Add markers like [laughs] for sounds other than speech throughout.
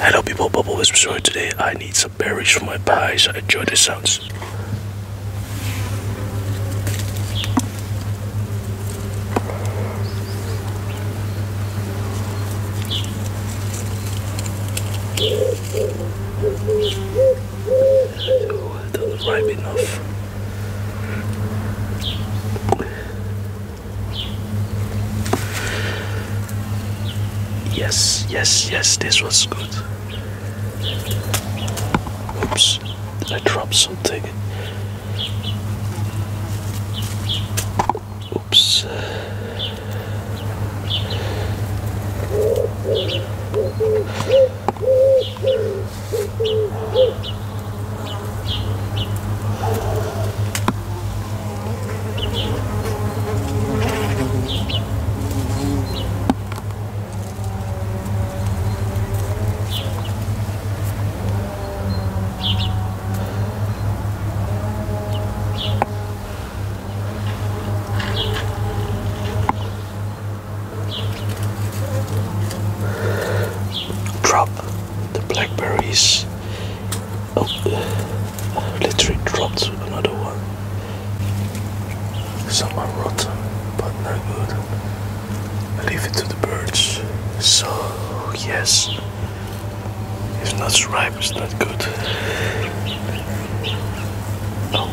Hello people, Bubble Whisper Story. Today I need some berries for my pie, so I enjoy the sounds. Oh, I not ripe enough. Yes, yes, yes, this was good. Oops, I dropped something? Oops. Drop the blackberries. Oh, uh, I literally dropped another one. Some are rotten, but not good. leave it to the birds. So, yes, if not ripe, it's not good. Oh.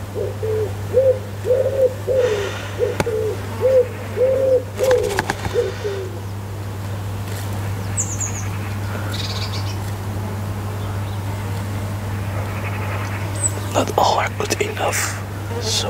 Not all good enough, so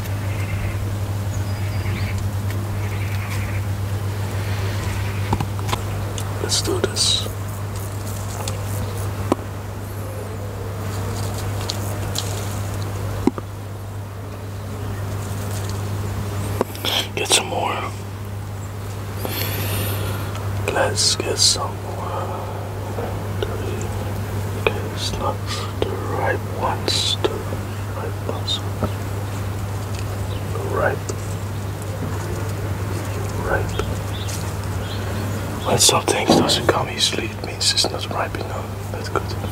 Let's do this. Get some more. Let's get some more. Okay, the right ones ripe, ripe. When something doesn't come easily, it means it's not ripe enough. That's good to eat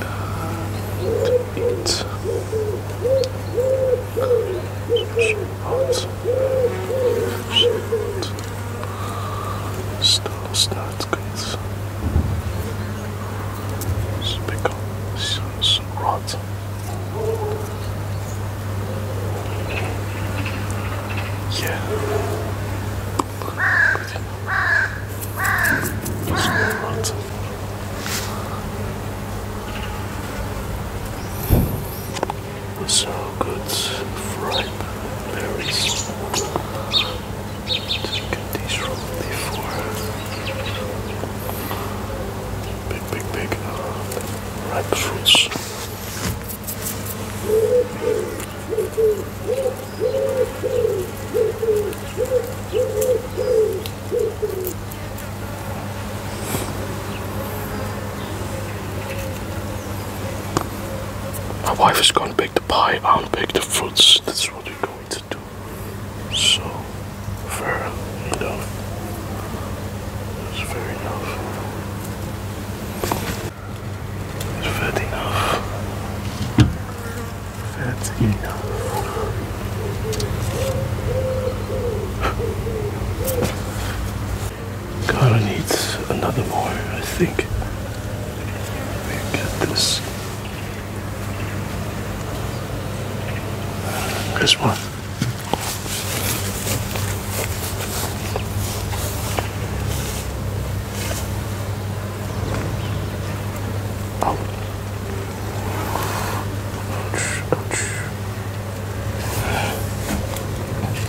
because it's rotten. Yeah. It's rotten. So good fried berries. Just get these from the big, big, big uh, ripe fruits. My wife is gonna bake the pie, I'll bake the fruits. That's what actually going to do so fair enough. It's fair enough. It's fair enough. Fair enough. Kinda needs another more, I think. Let get this. This one.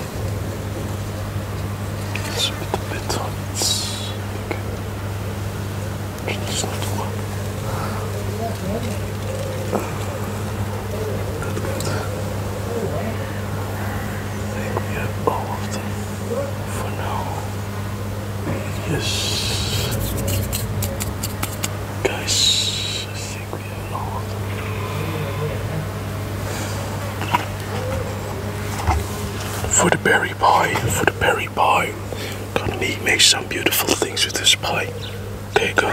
It's a bit on not one. Not good. we have all of them for now. Yes. Guys, I think we have all of them. For the berry pie, for the berry pie. Gonna need make some beautiful things with this pie. There you go.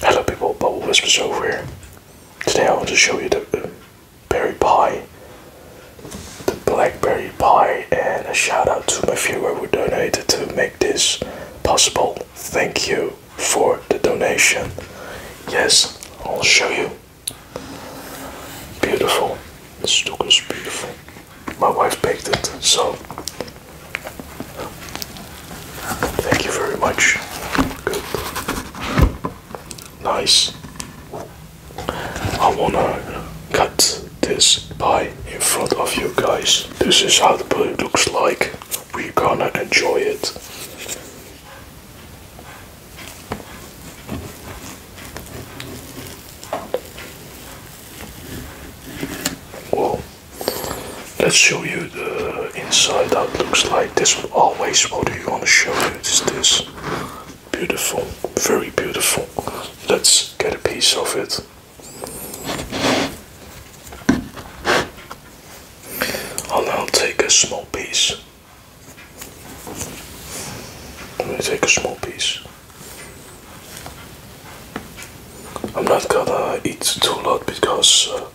Hello people, Bubble Whispers over here. Today I want to show you the uh, berry pie, the blackberry pie, and a shout out to my viewer who donated to make this possible. Thank you for the donation. Yes, I'll show you. Beautiful. This look is beautiful. My wife baked it, so Thank you very much. Good. Nice. I wanna cut this pie in front of you guys. This is how the pie looks like. We're gonna enjoy it. Whoa. Let's show you the inside how looks like. This always what do you want to show you is this. Beautiful, very beautiful. Let's get a piece of it. I'll now take a small piece. I'm take a small piece. I'm not gonna eat too lot because uh,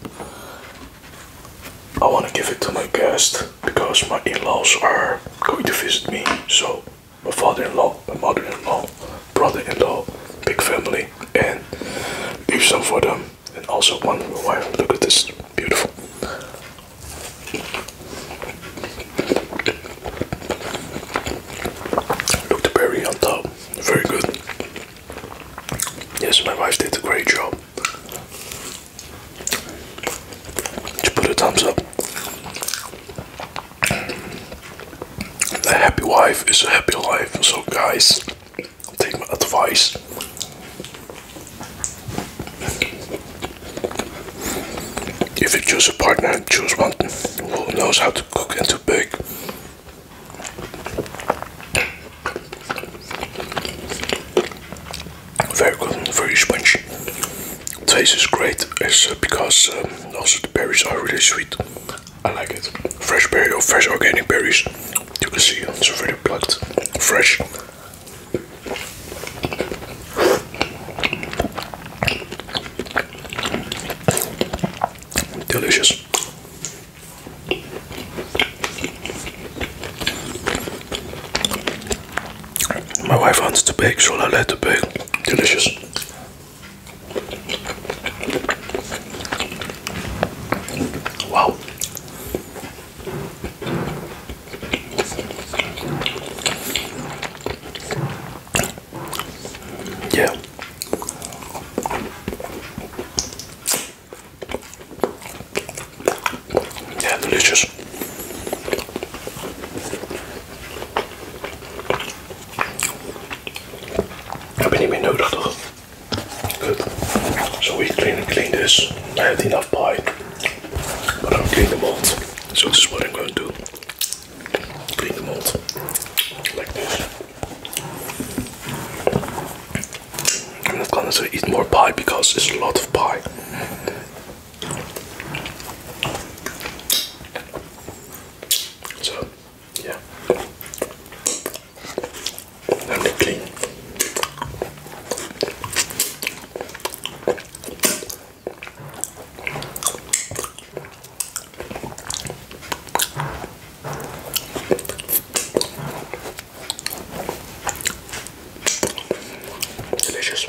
I want to give it to my guest because my in-laws are going to visit me. So my father-in-law, my mother-in-law, brother-in-law, big family, and leave some for them. And also one for wife. Look at this, beautiful. Look the on top. Very good. Yes, my wife did a great job. She put a thumbs up. A happy wife is a happy life. So guys, take my advice. If you choose a partner, choose one who knows how to cook and to bake. Very good, very spongy. Taste is great is uh, because um, also the berries are really sweet. I like it. Fresh berry or fresh organic berries. You can see it's already plucked, fresh. Delicious. My wife wants to bake, so I let her bake. Delicious. Wow. Yeah. Yeah, delicious. Ik ben niet meer nodig, toch? Good. So we clean, clean this. I have enough pie but I'm clean the mold. So this is what I'm going to do. Clean the mold like this. I'm not going to eat more pie because it's a lot of pie. So, yeah. Let me clean. Delicious.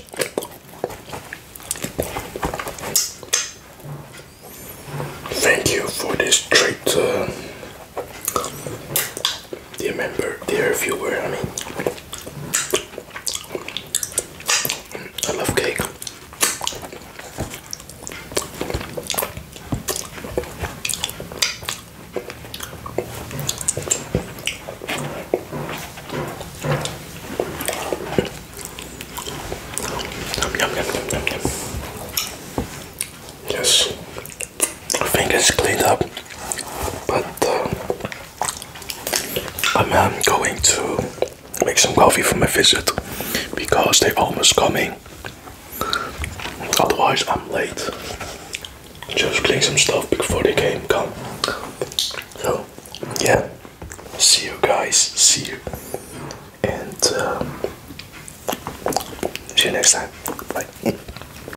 Thank you for this treat. Uh, do you remember few words? I mean, I love cake. Yum, yum, yum, yum, yum. Yes, I cleaned up, but uh, I'm um, going to make some coffee for my visit because they're almost coming. Otherwise, I'm late. Just clean some stuff before they came come. So, yeah. See you guys. See you. And um, see you next time. Bye. [laughs]